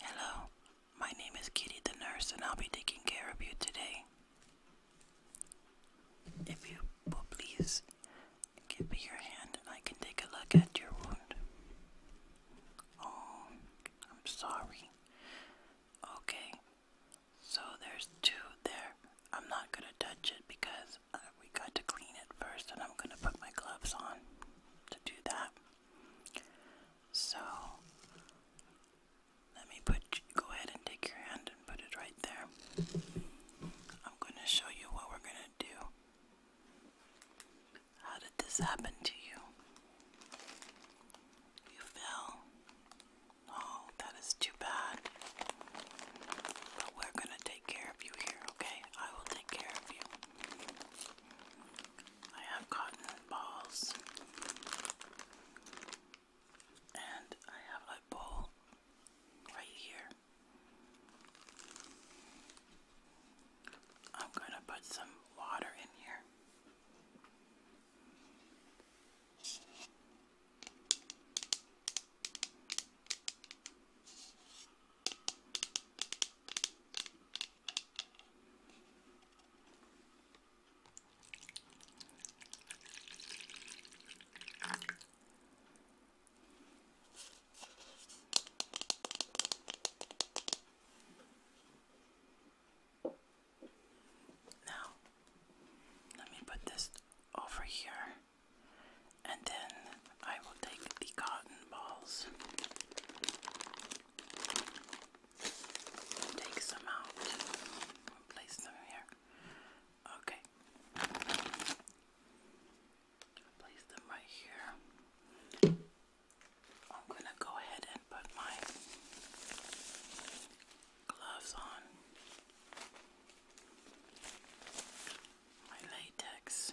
Hello, my name is Kitty the nurse, and I'll be taking care of you today. If you will please give me your hand and I can take a look at your wound. Oh, I'm sorry. Okay, so there's two there. I'm not gonna touch it because uh, we got to clean it first, and I'm gonna put my gloves on to do that. So let me put go ahead and take your hand and put it right there. I'm going to show you what we're going to do. How did this happen to you? You fell. Oh, that is too bad. But we're going to take care of you here, okay? I will take care of you. I have cotton balls. And I have a bowl right here. I'm going to put some water in here. Now, let me put this over here and then I will take the cotton balls take some out. place them here. Okay. Place them right here. I'm gonna go ahead and put my gloves on. My latex.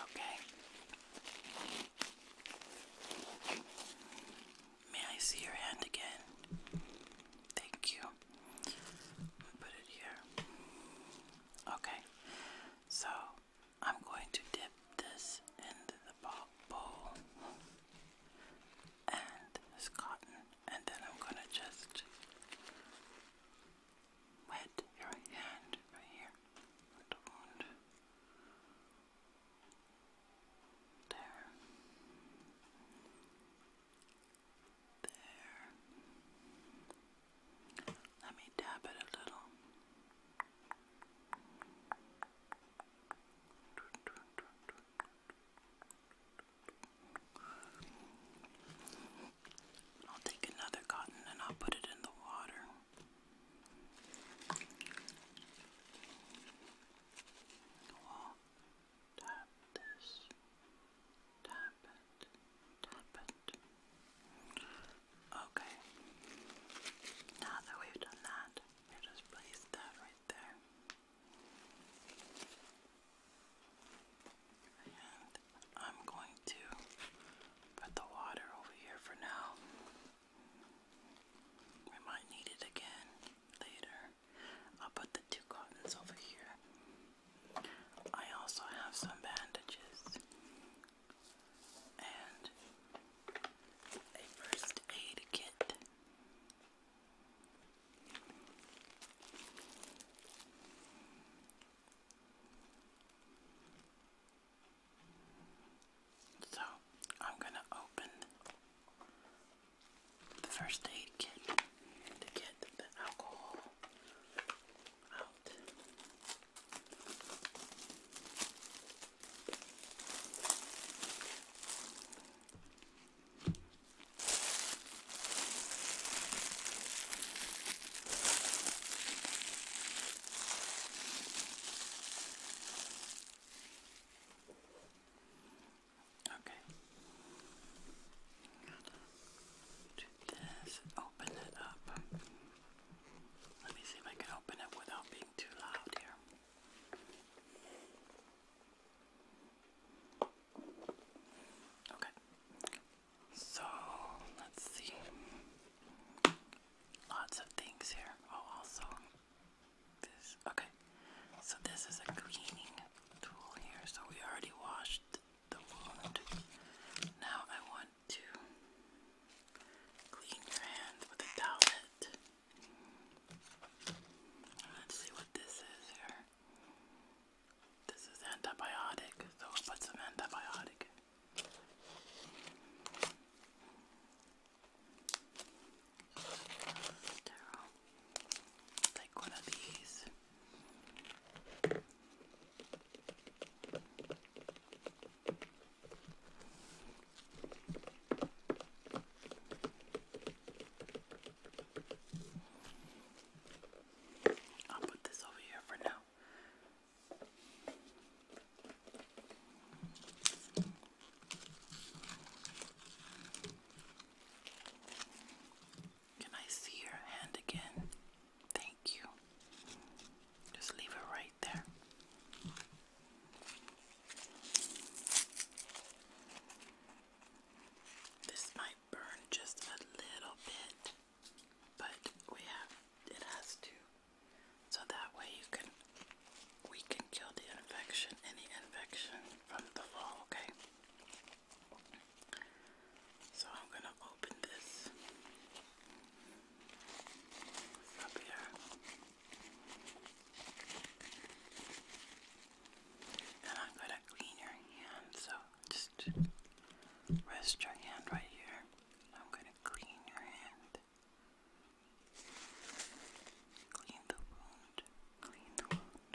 Okay. May I see your hand again? Thank you. Put it here. Okay. So I'm going to dip this into the bowl and this cotton, and then I'm going to just wet your hand right here. Don't. There. There. Let me dab it a little. I'll take another cotton and I'll put it in the water. I'll this, tap it, tap it. Okay. Now that we've done that, we just place that right there. And I'm going to put the water over here for now. We might need it again later. I'll put the two cottons over here. I also have some bandages and a first aid kit. So I'm going to open the first aid kit to get the alcohol out. Okay. Do this. Open it up. Let me see if I can open it without being too loud here. Okay. So, let's see. Lots of things here. Oh, also this. Okay. So this is a cleaning tool here. So we already washed the wound. Now I want to clean your hands with a towel. Let's see what this is here. This is antibiotic, so put some antibiotic. Sterile. Take one of these. I'll put this over here for now. Can I see your hand again? Thank you. Just leave it right there. This might burn just a little bit, but we have it has to. So that way you can we can kill the infection, any infection from the fall, okay? So I'm gonna open this. And I'm going to clean your hand, so just rest your hand right here. I'm going to clean your hand. Clean the wound. Clean the wound.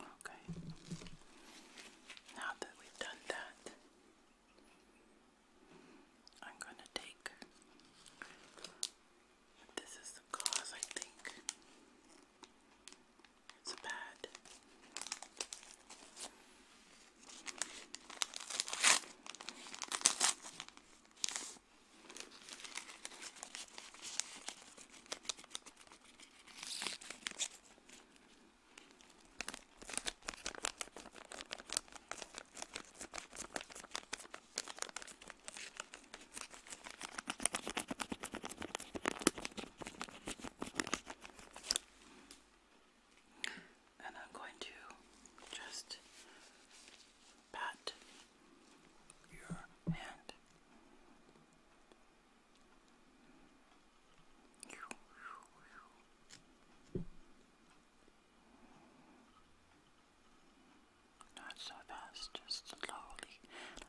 Okay. Now that we've done that, I'm going to take this is the cause, I think. It's a pad. And I'm going to just pat your hand not so fast, just slowly.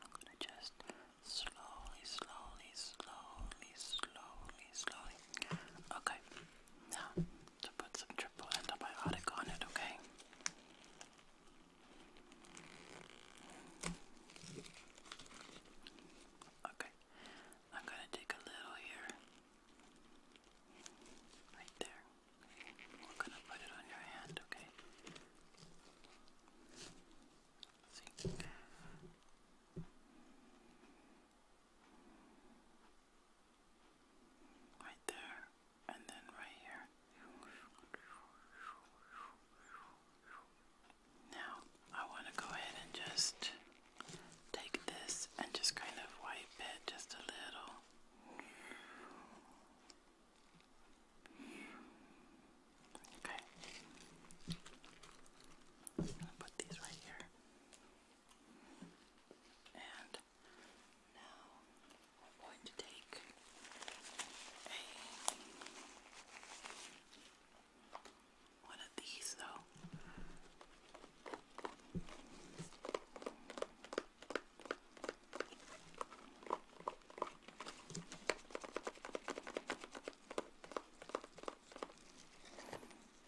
I'm gonna just slowly, slowly, slowly, slowly, slowly. Okay, now to put some triple antibiotic on it, okay? Okay, I'm going to take a little here, right there. We're going to put it on your hand, okay? Right there, and then right here. Now, I want to go ahead and just take this and just kind of wipe it just a little. Okay. put these right here. And now I'm going to take one of these, though.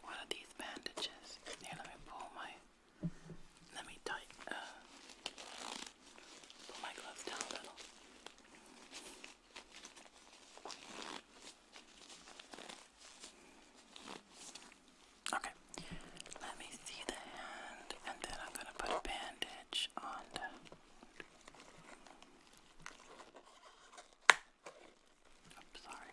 One of these bandages. Here, let me pull my. Let me tight. Uh, pull my gloves down a little. Okay, let me see the hand, and then I'm going to put a bandage on the. Oops, sorry,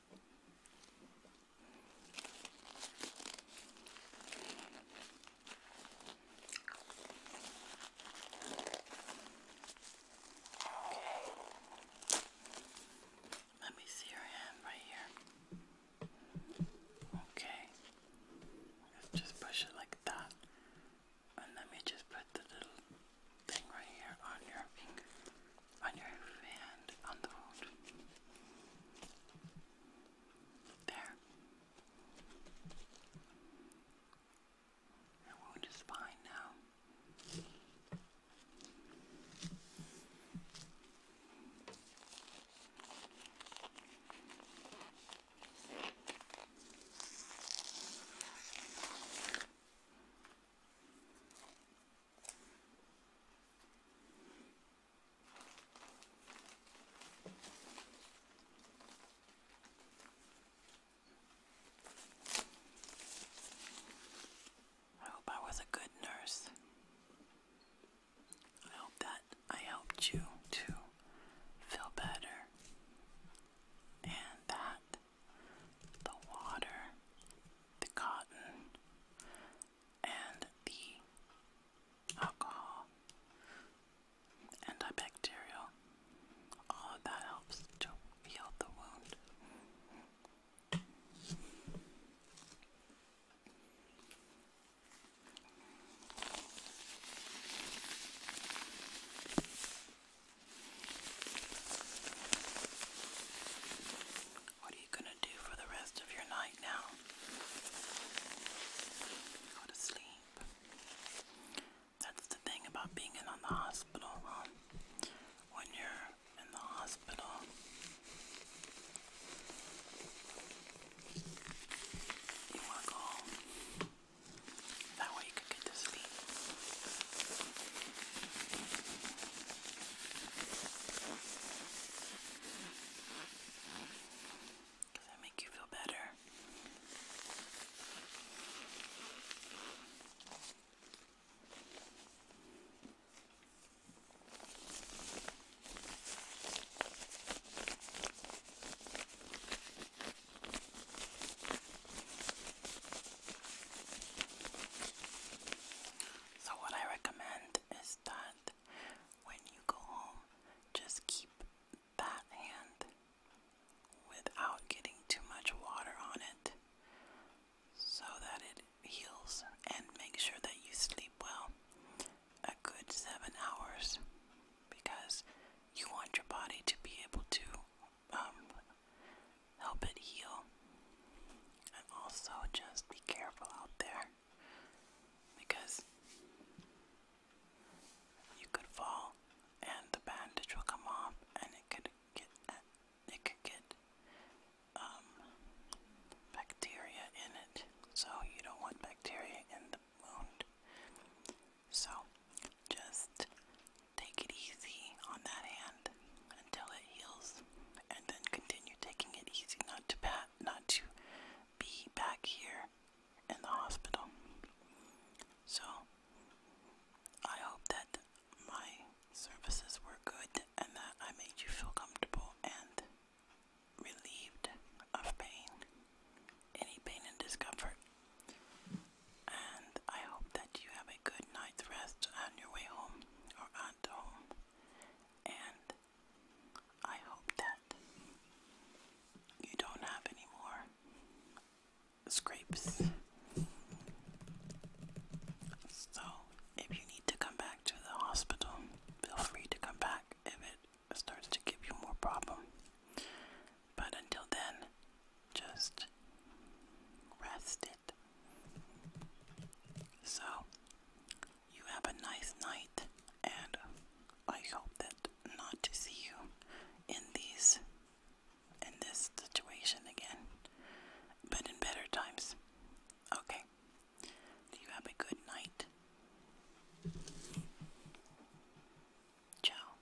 Okay. Let me see your hand right here. Okay. just push it like that. And let me just put the little thing right here on your finger on your hand on the wound. There. Your wound is fine now. I hope I was a good nurse. I hope that I helped you to feel better and that the water the cotton, and the alcohol, antibacterial. All that helps to heal the wound. What are you going to do for the rest of your night now? Go to sleep. That's the thing about being in the hospital, When you're in the hospital, you want to go That way you can get to sleep. Does that make you feel better? So, what I recommend is that when you go home, just keep that hand without getting too much water on it so that it heals and make sure that you sleep well a good seven hours because you want your body to be able to um, help it heal. And also just be careful out there because you could fall and the bandage will come off and it could get it could get um, bacteria in it. So you don't want bacteria in the wound. So just take it easy on that hand hand until it heals, and then continue taking it easy not to pat, not to be back here in the hospital. So I hope that my services were good and that I made you feel comfortable and relieved of pain, any pain and discomfort. And I hope that you have a good night's rest on your way home or condom, and I hope that you don't have any more scrapes. So, if you need to come back to the hospital, feel free to come back if it starts to give you more problem. But until then, just rest it so, you have a nice night, and I hope that not to see you in these, in this situation again, but in better times. Okay. you have a good night? Ciao.